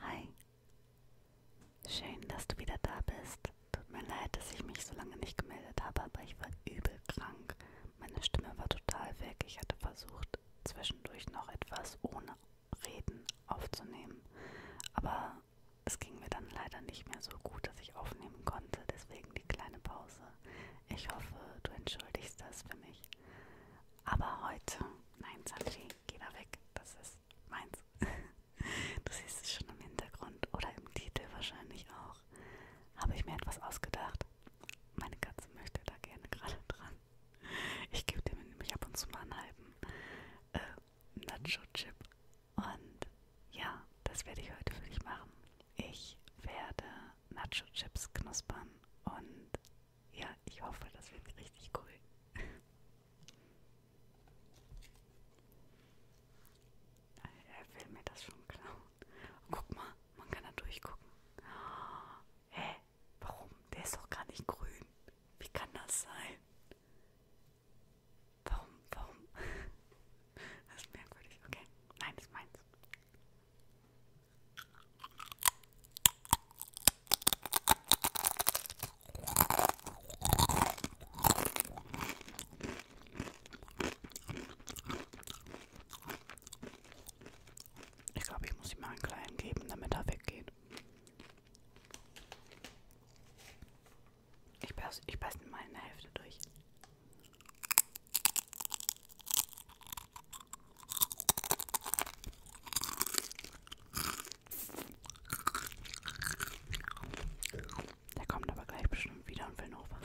Hi. Schön, dass du wieder da bist. Tut mir leid, dass ich mich so lange nicht gemeldet habe, aber ich war übel krank. Meine Stimme war total weg. Ich hatte versucht, zwischendurch noch etwas ohne Reden aufzunehmen. Aber es ging mir dann leider nicht mehr so gut, dass ich aufnehmen konnte, deswegen die kleine Pause. Ich hoffe, du entschuldigst das für mich. Aber heute, nein, Sanji, geh da weg, das ist meins. Du siehst es schon im Hintergrund oder im Titel wahrscheinlich auch. Habe ich mir etwas ausgedacht? Meine Katze möchte da gerne gerade dran. Ich gebe dem nämlich ab und zu mal einen halben äh, Nacho-Chip und ja, das werde ich heute für dich machen. Ich werde Nacho Chips knuspern und ja, ich hoffe, das wird richtig cool. Er will mir das schon klauen. Guck mal, man kann da durchgucken. Hä? Warum? Der ist doch gar nicht grün. Wie kann das sein? Warum, warum? Das ist merkwürdig, okay. Nein, das ist meins. Ich glaube, ich muss ihm mal einen kleinen geben, damit er weggeht. Ich beiß, ich beiß mal in der Hälfte durch. Der kommt aber gleich bestimmt wieder und will noch was.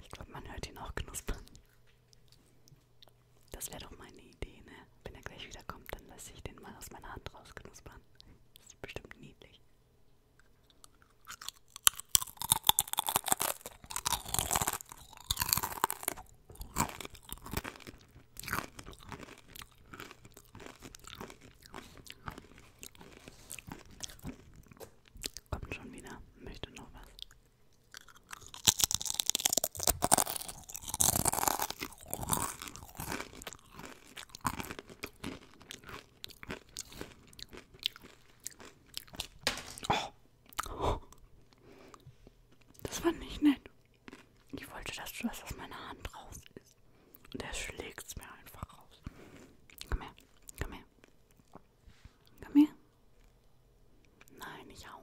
Ich glaube, man hört ihn auch knuspern. Das wäre doch meine Idee, ne? Wenn er gleich wiederkommt, dann lasse ich den mal aus meiner Hand rausknuspern. Das ist bestimmt niedlich. Kommt schon wieder, möchte noch was. Oh. Oh. Das war nicht nett. Ich wollte, dass du das aus meiner Hand raus ist. Und er schlägt's mir einfach raus. Komm her, komm her. Komm her. Nein, nicht hauen.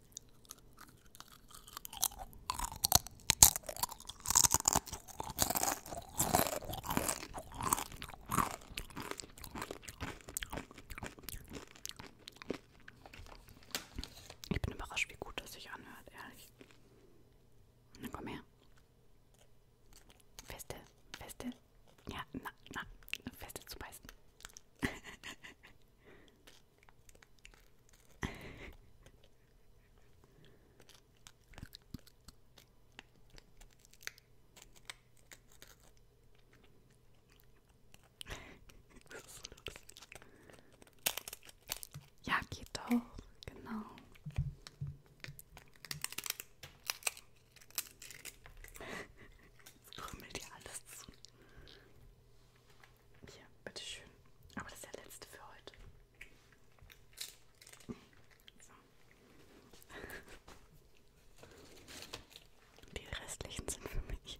Ich bin überrascht, wie gut das sich anhört, ehrlich. Na komm her. Feste, feste. Ja, na, na, feste zu beißen. das ist so lustig. Ja, geht doch, genau. Jetzt krümmelt ihr alles zu. Hier, bitteschön. Aber das ist der letzte für heute. So. Die restlichen sind für mich.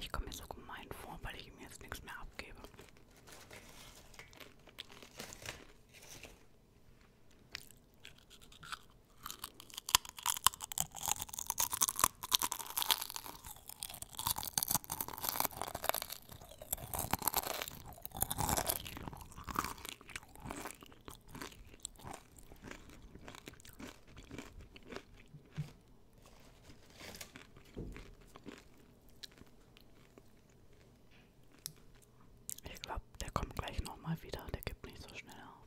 Ich komme mir so gemein vor, weil ich ihm jetzt nichts mehr abgebe. Ich glaube, der kommt gleich nochmal wieder, der gibt nicht so schnell auf.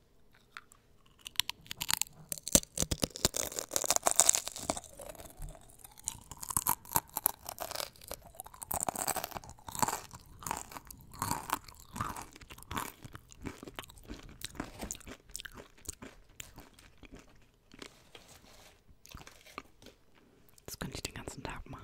Das könnte ich den ganzen Tag machen.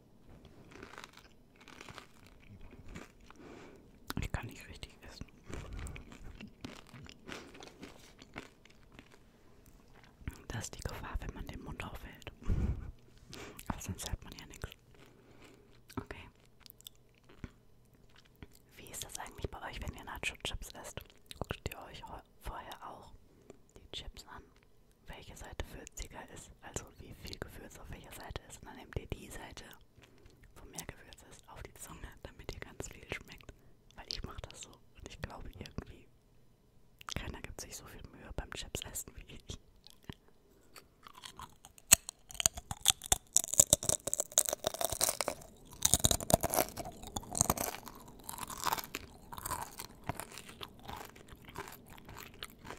Ich kann nicht richtig essen. Das ist die Gefahr, wenn man den Mund aufhält. Aber sonst hört man ja nichts. Okay. Wie ist das eigentlich bei euch, wenn ihr Nacho-Chips esst? Guckt ihr euch vorher auch die Chips an? Welche Seite für gewürziger ist, also wie viel Gewürz auf welcher Seite ist. Und dann nehmt ihr die Seite, wo mehr Gewürz ist, auf die Zunge, damit ihr ganz viel schmeckt. Weil ich mache das so und ich glaube irgendwie, keiner gibt sich so viel Mühe beim Chips essen wie ich.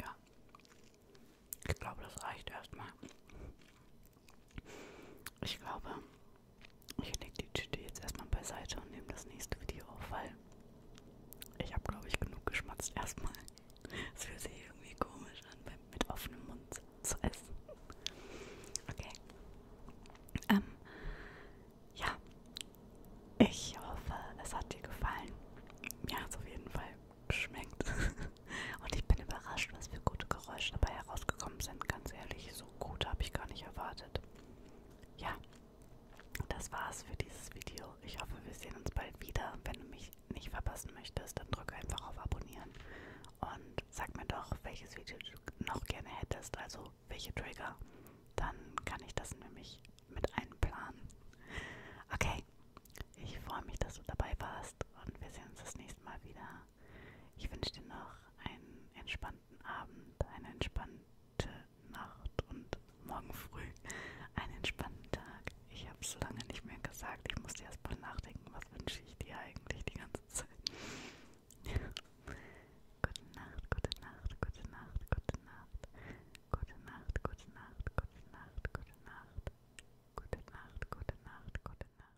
Ja, ich glaube, das reicht erstmal. Ich glaube, ich lege die Tüte jetzt erstmal beiseite und nehme das nächste Video auf, weil ich habe, glaube ich, genug geschmatzt erstmal. Es fühlt sich irgendwie komisch an, mit offenem Mund zu essen. Okay. Ähm, ja. Ich hoffe, es hat dir gefallen. Mir hat es auf jeden Fall geschmeckt. Und ich bin überrascht, was für gute Geräusche dabei herausgekommen sind. Ganz ehrlich, so gut habe ich gar nicht erwartet. Ja das war's für dieses Video. Ich hoffe, wir sehen uns bald wieder. Wenn du mich nicht verpassen möchtest, dann drück einfach auf Abonnieren und sag mir doch, welches Video du noch gerne hättest, also welche Trigger. Dann kann ich das nämlich mit einplanen. Okay, ich freue mich, dass du dabei warst und wir sehen uns das nächste Mal wieder. Ich wünsche dir noch einen entspannten entspannten Abend, eine entspannte Nacht und morgen früh einen entspannten Tag. Ich habe es lange nicht mehr gesagt. Ich musste erst mal nachdenken, was wünsche ich dir eigentlich die ganze Zeit. gute Nacht, gute Nacht, gute Nacht, gute Nacht. Gute Nacht, gute Nacht, gute Nacht, gute Nacht. Gute Nacht, gute Nacht, gute Nacht, gute Nacht.